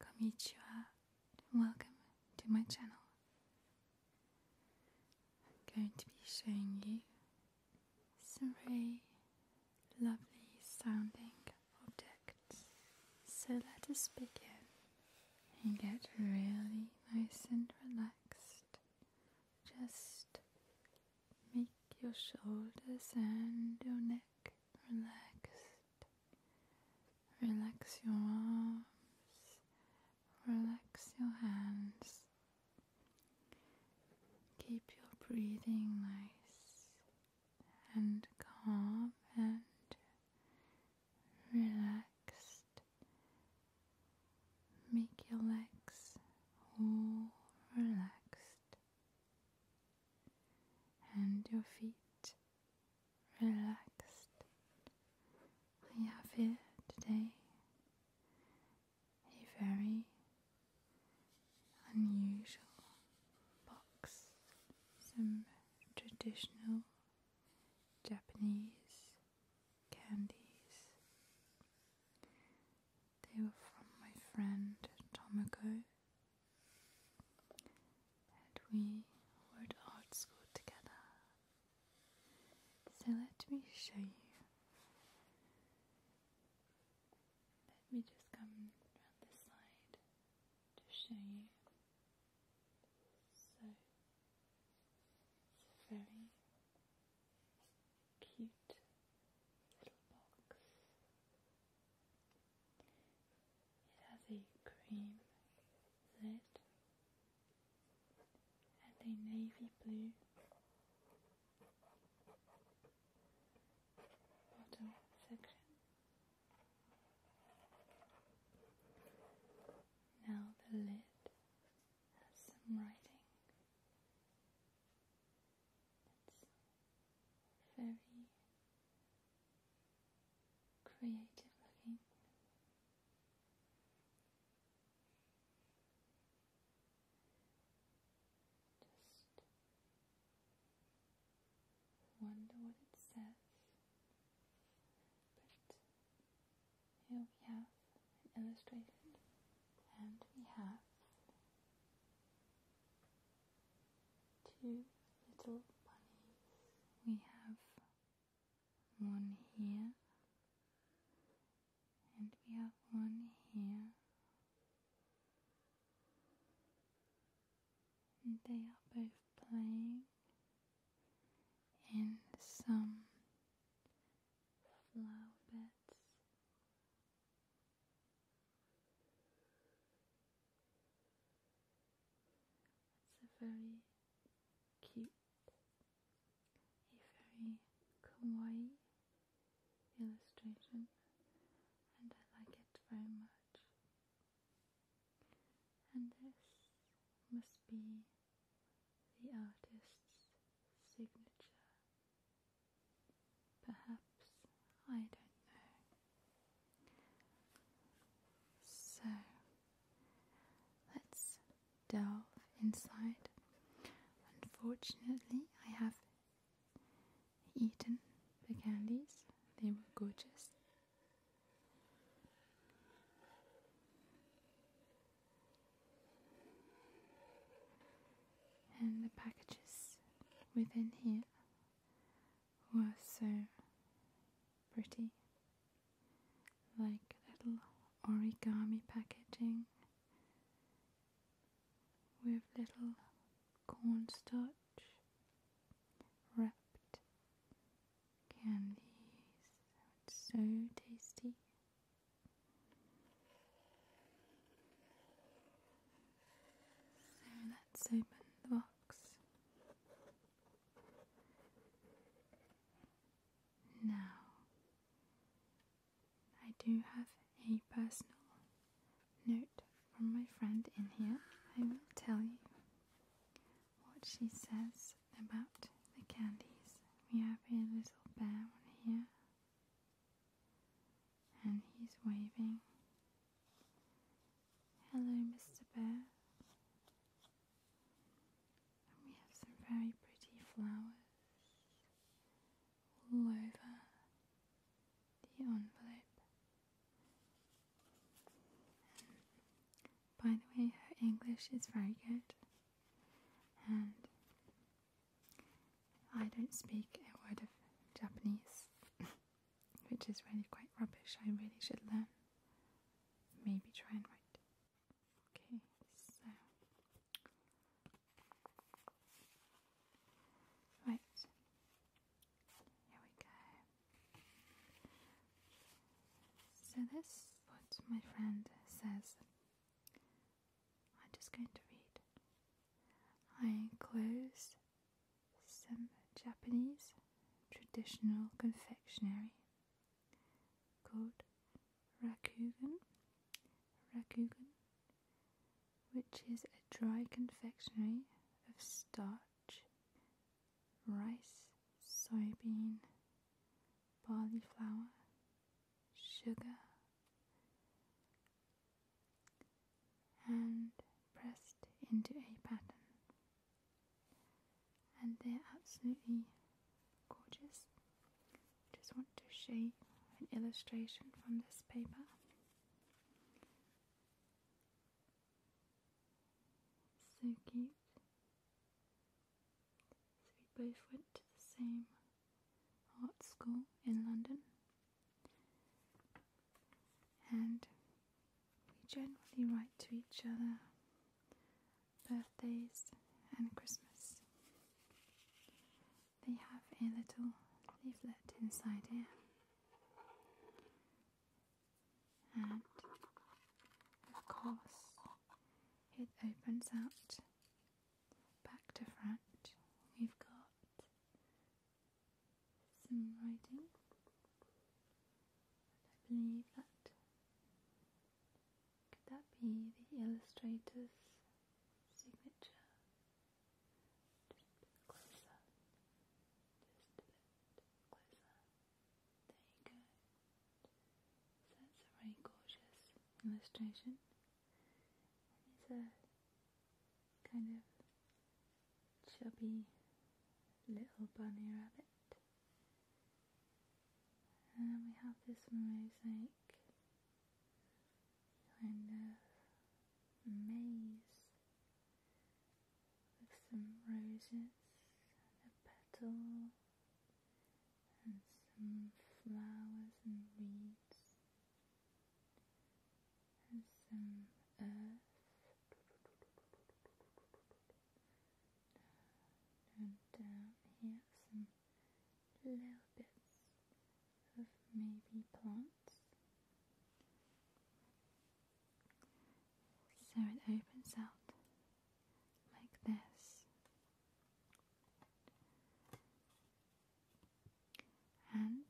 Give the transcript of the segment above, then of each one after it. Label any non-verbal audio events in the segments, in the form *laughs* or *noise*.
Konnichiwa and welcome to my channel. I'm going to be showing you some lovely sounding objects. So let us begin and get really nice and relaxed. Just make your shoulders and your neck relaxed. Relax your arms, relax your hands. Keep your breathing nice and calm and relaxed. Make your legs all relaxed and your feet relaxed. I have here today a very unusual box, some traditional Japanese candies. They were from my friend Tomoko and we were at art school together. So let me show you. Let me just come around this side to show you. So very cute little box it has a cream lid and a navy blue bottom section. Now the lid has some writing it's very creative looking. Just wonder what it says, but here we have an illustrated and we have two little bunnies. We have one here and we have one here. they are both playing in some flower beds. It's a very cute, a very kawaii illustration, and I like it very much. And this must be the artist's signature Perhaps, I don't know. So, let's delve inside. Unfortunately, I have eaten the candies, they were gorgeous. And the packages within here were so pretty, like little origami packaging with little cornstarch wrapped candies. so tasty. So let's open the box. Now, I do have a personal note from my friend in here. I will tell you what she says about the candies. We have a little bear one here and he's waving. Hello, Mr. Bear. we have some very pretty flowers all over the envelope. by the way, her English is very good, and I don't speak a word of Japanese, *laughs* which is really quite rubbish. I really should learn. Maybe try and write. Okay, so. Right. Here we go. So, this what my friend says I'm just going to read. I enclose some Japanese traditional confectionery called rakugan, rakugan, which is a dry confectionery of starch, rice, soybean, barley flour, sugar, and pressed into a pattern. And they're absolutely gorgeous. Just want to show an illustration from this paper. So cute. So we both went to the same art school in London, and we generally write to each other birthdays and Christmas. They have a little leaflet inside here. And of course, it opens out back to front, we've got some writing. I believe that could that be the illustrator's signature? Just a bit closer. Just a bit closer. There you go. So a very gorgeous illustration. He's a kind of chubby little bunny rabbit. And then we have this mosaic kind of maze with some roses and a petal and some flowers and weeds, and some earth. And down here some little bits of maybe plants. So it opens out like this and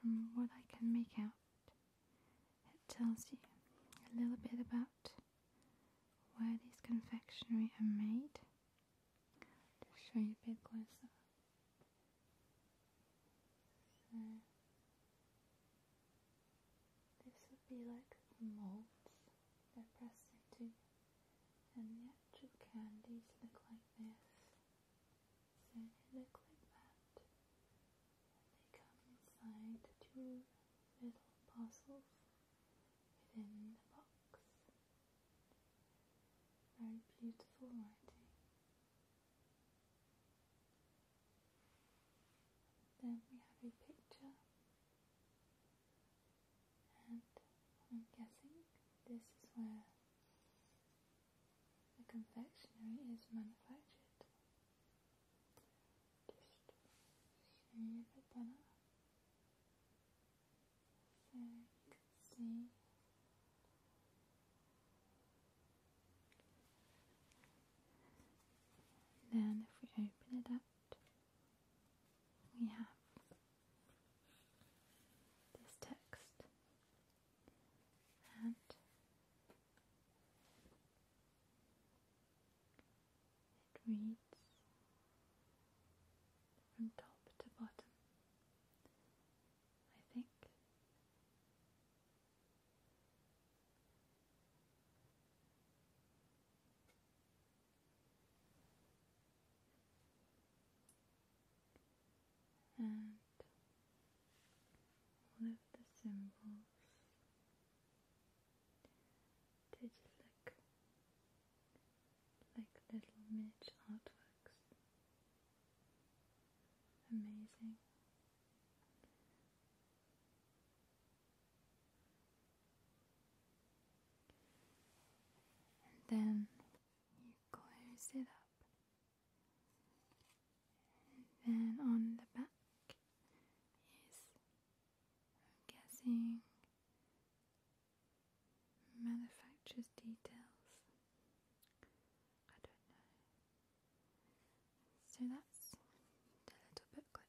from what I can make out, it tells you a little bit about where these confectionery are made. i show you a bit closer. So this would be like molds they're into and yet, actual candies look like this. So they look like that. they come inside two little parcels within the box. Very beautiful writing. Then we have a picture and I'm guessing this is where the confectionery is manufactured. Just shave it down so you then if we open it up, we have this text and it reads from top to bottom, I think and all of the symbols they just look like little miniature artworks. Amazing. And then you close it up. And then on the back is, I'm guessing, manufacturer's details. I don't know. So that's the little booklet.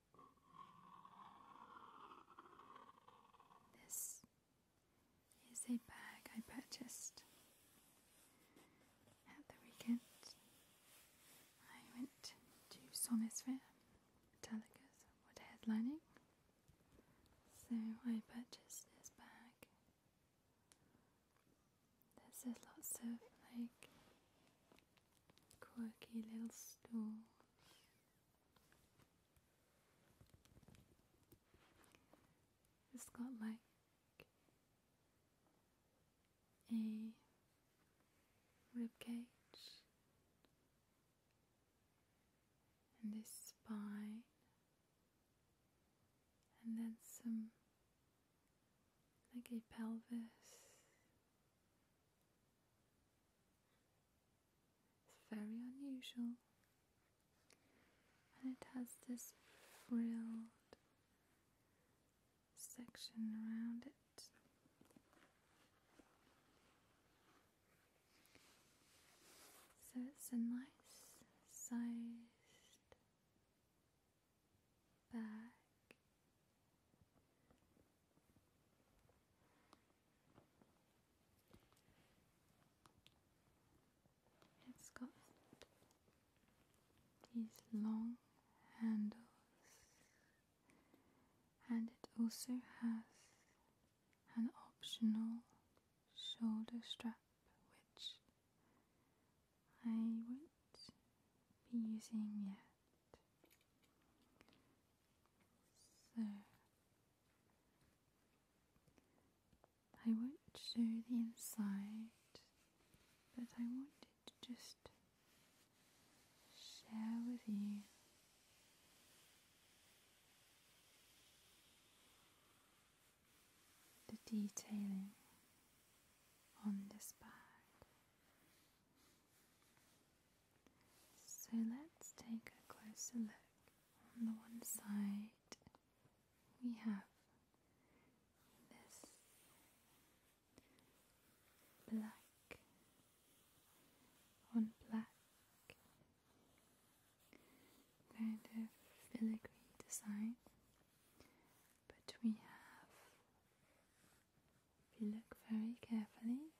This is a bag I purchased at the weekend. I went to Sommersphere, Metallica's what headlining. So I purchased this bag. There's lots of like quirky little stool. It's got like a rib cage and a spine and then some like a pelvis it's very unusual and it has this frilled section around it. So it's a nice sized back it's got these long handles and it also has an optional shoulder strap which I won't be using yet so, I won't show the inside, but I wanted to just share with you. The detailing on this bag. So let's take a closer look. On the one side, we have this black on black kind of filigree design, but we have if you look very carefully,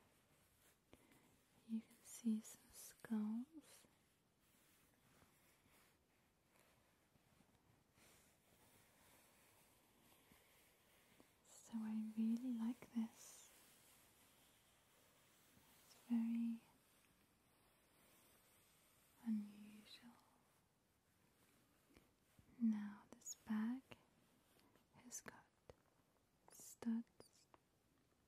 you can see some skulls. So I really like this. It's very unusual. Now this bag has got studs,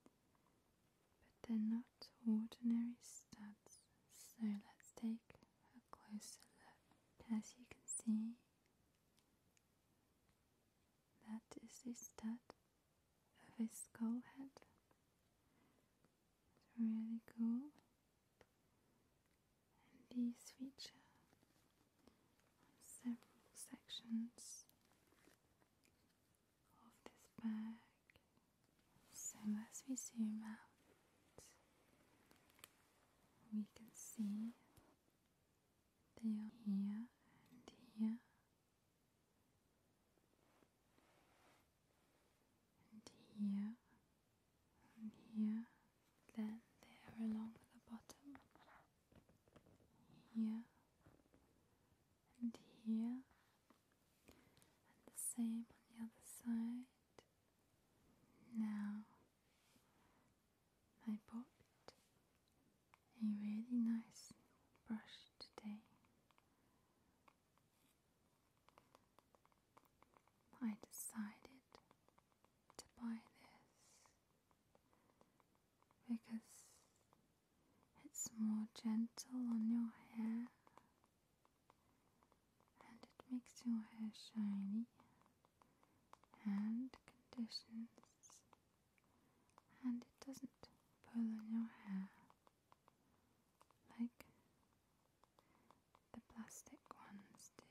but they're not ordinary studs, so let's take a closer look. As you can see, that is the stud a skull head. It's really cool and these feature several sections of this bag. So as we zoom out, we can see they are here and here and here and here, then there along the bottom, here, and here, and the same on the other side. Now, I bought a really nice brush today. I decided to buy this because it's more gentle on your hair and it makes your hair shiny and conditions and it doesn't pull on your hair like the plastic ones do.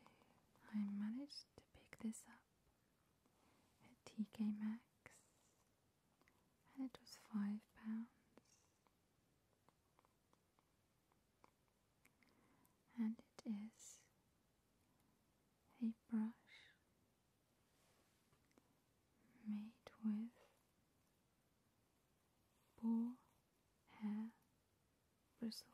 I managed to pick this up at TK Maxx and it was five pounds and it is a brush made with boar hair bristles.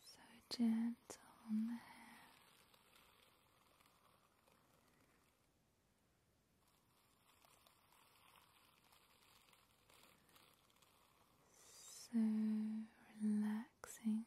so gentle on So relaxing.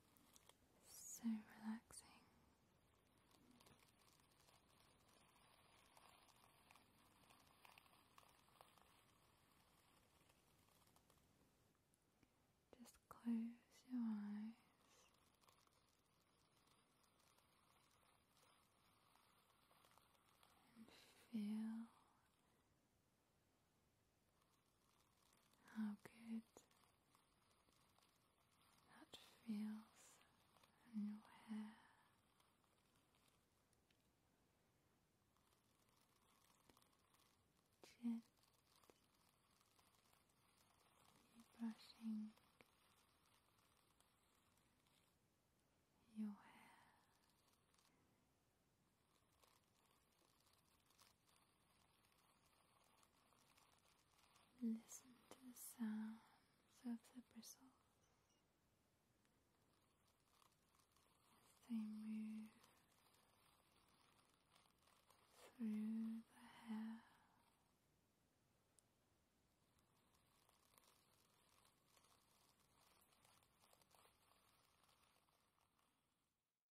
so relaxing. Just close your eyes. And feel how good that feels in your hair. Gently brushing your hair Listen to the sounds of the bristles as they move through the hair.